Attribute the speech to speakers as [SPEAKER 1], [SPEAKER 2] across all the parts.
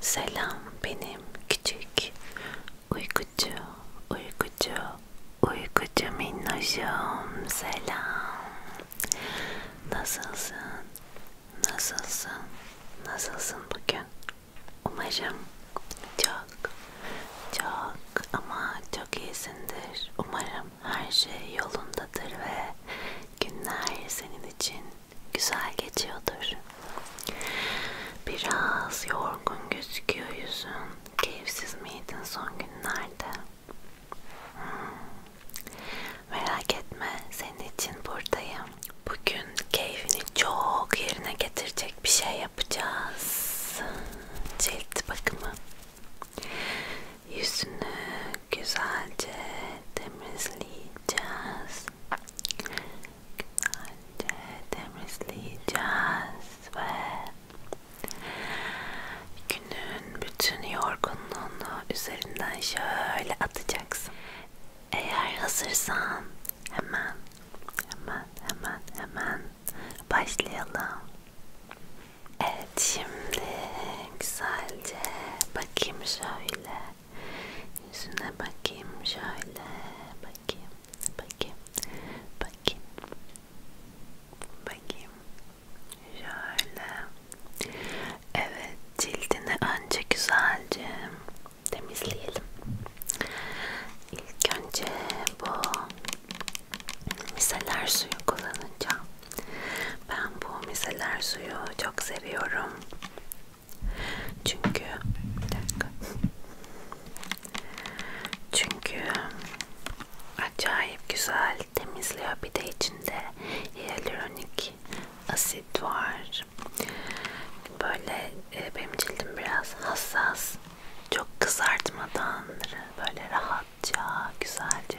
[SPEAKER 1] Selam benim küçük uykucu uykucu uykucu minnoşum selam Nasılsın nasılsın nasılsın bugün umarım çok çok ama çok iyisindir umarım her şey yolundadır ve günler senin için güzel geçiyordur. Biraz yorgun gözüküyor yüzün. Keyifsiz miydin son günlerde? Hmm. Merak etme, senin için buradayım. Bugün keyfini çok yerine getirecek bir şey yapacağız. Cilt bakımı yüzünü güzelce temizleyeceğiz. Güzelce temizleyeceğiz ve günün bütün yorgunluğunu üzerinden şöyle atacaksın. Eğer hazırsan hemen hemen hemen hemen başlayalım. Evet şimdi güzelce bakayım şöyle yüzüne bakayım şöyle bakayım bakayım bakayım bakayım şöyle evet cildini önce güzelce temizleyelim ilk önce bu miseler suyu kullanacağım. Ben bu miseler suyu çok seviyorum. Çünkü bir dakika. Çünkü acayip güzel temizliyor. Bir de içinde hyaluronik asit var. Böyle e, benim cildim biraz hassas. Çok kızartmadan böyle rahatça, güzelce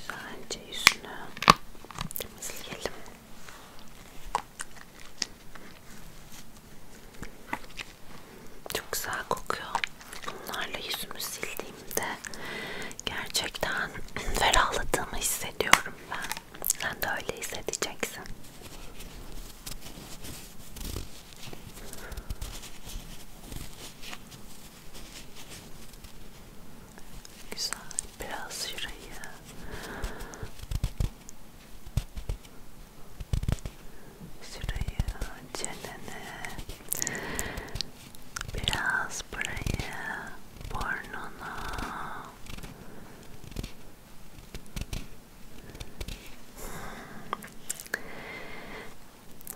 [SPEAKER 1] Güzelce yüzünü temizleyelim. Çok güzel kokuyor. Bunlarla yüzümü sildiğimde gerçekten ferahladığımı hissediyorum ben. Sen de öyle hissedeceksin. Güzel biraz şurayı şurayı çenene biraz burayı burnuna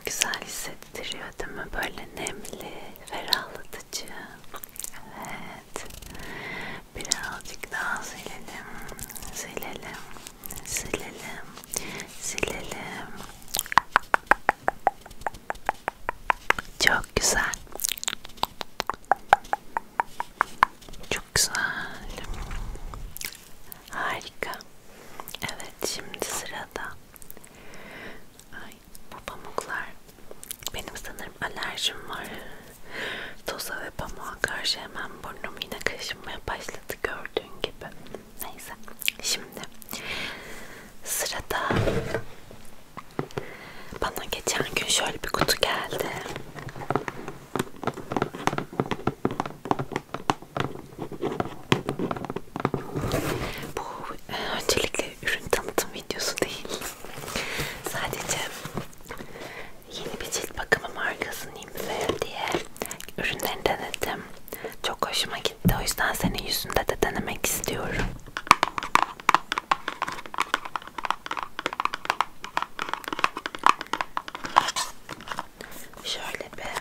[SPEAKER 1] Güzel hissettiriyor değil mi? Böyle nemli, ferahlatıcı. Evet. Birazcık daha silelim. Silelim. Silelim. Silelim. Çok güzel. Çok güzel. Harika. Evet şimdi sırada. Ay bu pamuklar. Benim sanırım alerjim var. Toza ve pamuğa karşı hemen burnum yine kaşınmaya başladı gördüğün gibi. Neyse şimdi sırada bana geçen gün şöyle bir kutu geldi. Bu e, öncelikle ürün tanıtım videosu değil. Sadece yeni bir cilt bakımı markasını imzayım diye ürünlerini denedim. Çok hoşuma gitti. O yüzden senin yüzünde de denemek istiyorum. Şöyle bir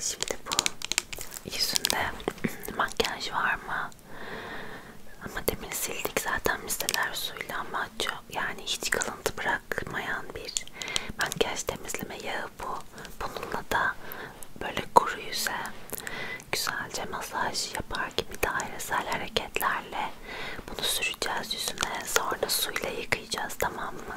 [SPEAKER 1] Şimdi bu yüzünde makyaj var mı? Ama demin sildik zaten misteler suyla ama çok, yani hiç kalıntı bırakmayan bir makyaj temizleme yağı bu. Bununla da böyle kuru yüze güzelce masaj yapar gibi dairesel hareketlerle bunu süreceğiz yüzüne sonra suyla yıkayacağız tamam mı?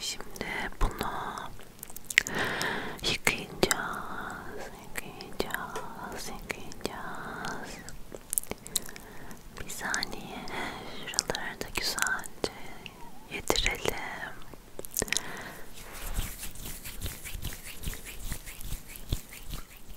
[SPEAKER 1] Şimdi bunu yıkayacağız, yıkayacağız, yıkayacağız. Bir saniye şuraları da güzelce yedirelim.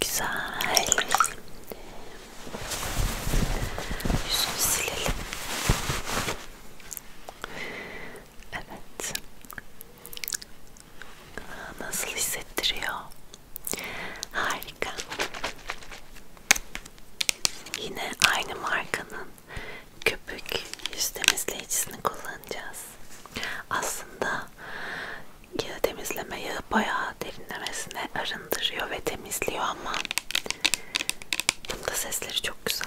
[SPEAKER 1] Güzel. Yüzünü silelim. Evet. Nasıl hissettiriyor? Harika. Yine aynı markanın köpük yüz temizleyicisini kullanacağız. Aslında yağı temizleme yağı bayağı derinlemesine arındırıyor ve temizliyor ama bunda sesleri çok güzel.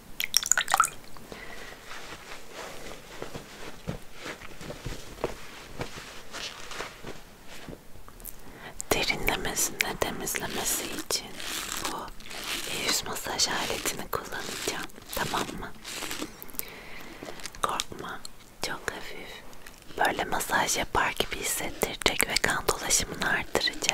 [SPEAKER 1] Derinlemesine temizlemesi için bu yüz masaj aletini kullanacağım. Tamam mı? Korkma. Çok hafif. Böyle masaj yapar gibi hissettirecek ve kan dolaşımını artıracak.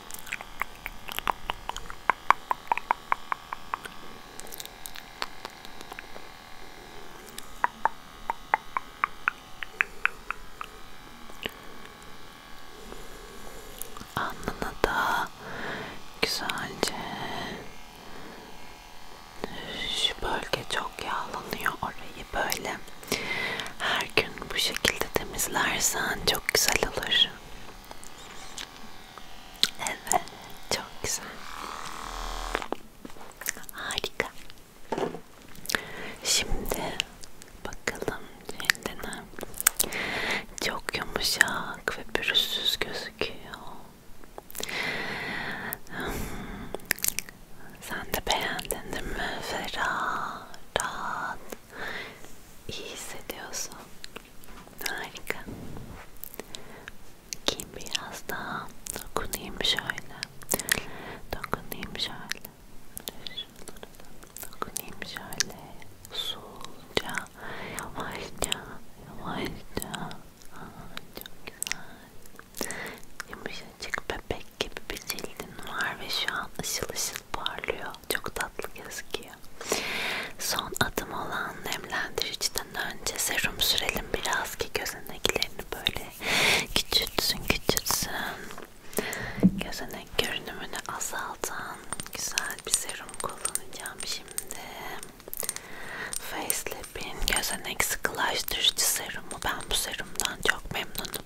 [SPEAKER 1] Alnına da güzelce şu bölge çok yağlanıyor orayı böyle her gün bu şekilde temizlersen çok güzel olur. Evet, çok güzel. Harika. Şimdi bakalım cildine. Çok yumuşak ve pürüzsüz gözüküyor. Hmm. Sen de beğendin değil mi? Ferah, rahat, iyi hissediyorsun. Harika. Kim biraz daha dokunayım şöyle. Dokunayım şöyle. Dokunayım şöyle. Usulca, yavaşça, yavaşça. Aa, çok güzel. Yumuşacık bebek çiçek gibi bir cildin var ve şu an ışıl ışıl parlıyor. Çok tatlı gözüküyor. Son adım olan nemlendiriciden önce serum sürelim biraz ki gözeneklerini böyle küçültsün küçültsün. Gözenek görünümünü azaltan güzel bir serum kullanacağım şimdi. Facelip'in gözenek sıkılaştırıcı serumu. Ben bu serumdan çok memnunum.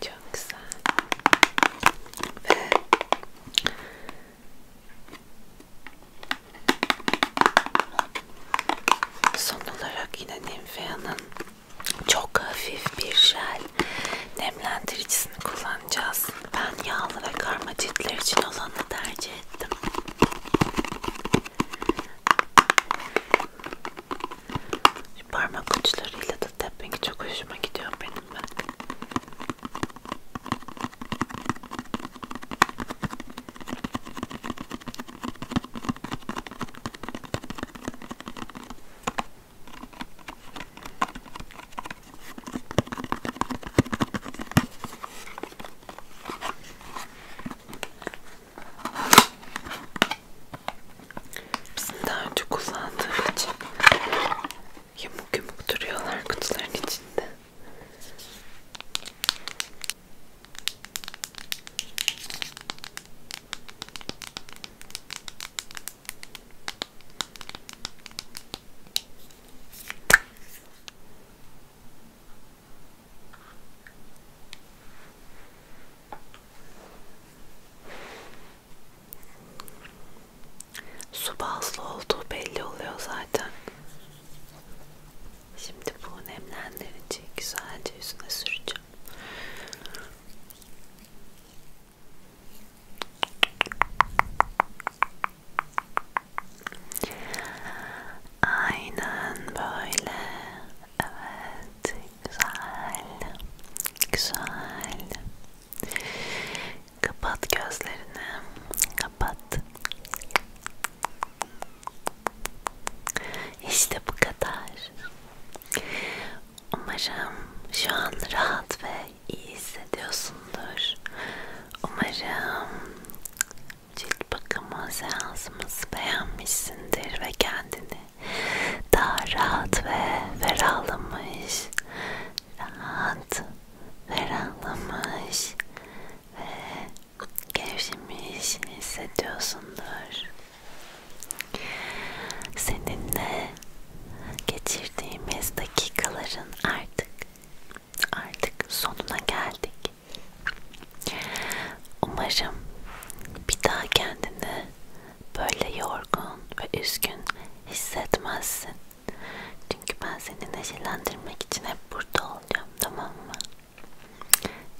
[SPEAKER 1] Çok güzel. Ve son olarak yine Nymphea'nın çok hafif bir jel nemlendiricisini kullanacağız. Ben yağlı ve karma ciltler için olanı tercih ettim. Şu parmak uçlarıyla da tapping çok hoşuma gidiyor benim ben. Bizim daha önce kullandığım için yamuk yumuk duruyorlar kutuların içinde. Su bazlı olduğu belli oluyor zaten. Şimdi bu nemlendirici güzelce yüzüne süreceğim. Aynen böyle. Evet, güzel. Güzel. Kapat gözlerini. Kapat. İşte bu kadar. Umarım şu an rahat ve iyi hissediyorsundur. Umarım cilt bakımı seansımızı beğenmişsindir ve kendini daha rahat ve ferahlamış, rahat, ferahlamış ve gevşemiş hissediyorsundur. Seninle geçirdiğimiz dakikaların artık artık sonuna geldik. Umarım bir daha kendini böyle yorgun ve üzgün hissetmezsin. Çünkü ben seni neşelendirmek için hep burada olacağım tamam mı?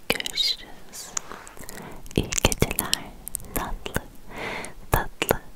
[SPEAKER 1] Görüşürüz. İyi geceler tatlı tatlı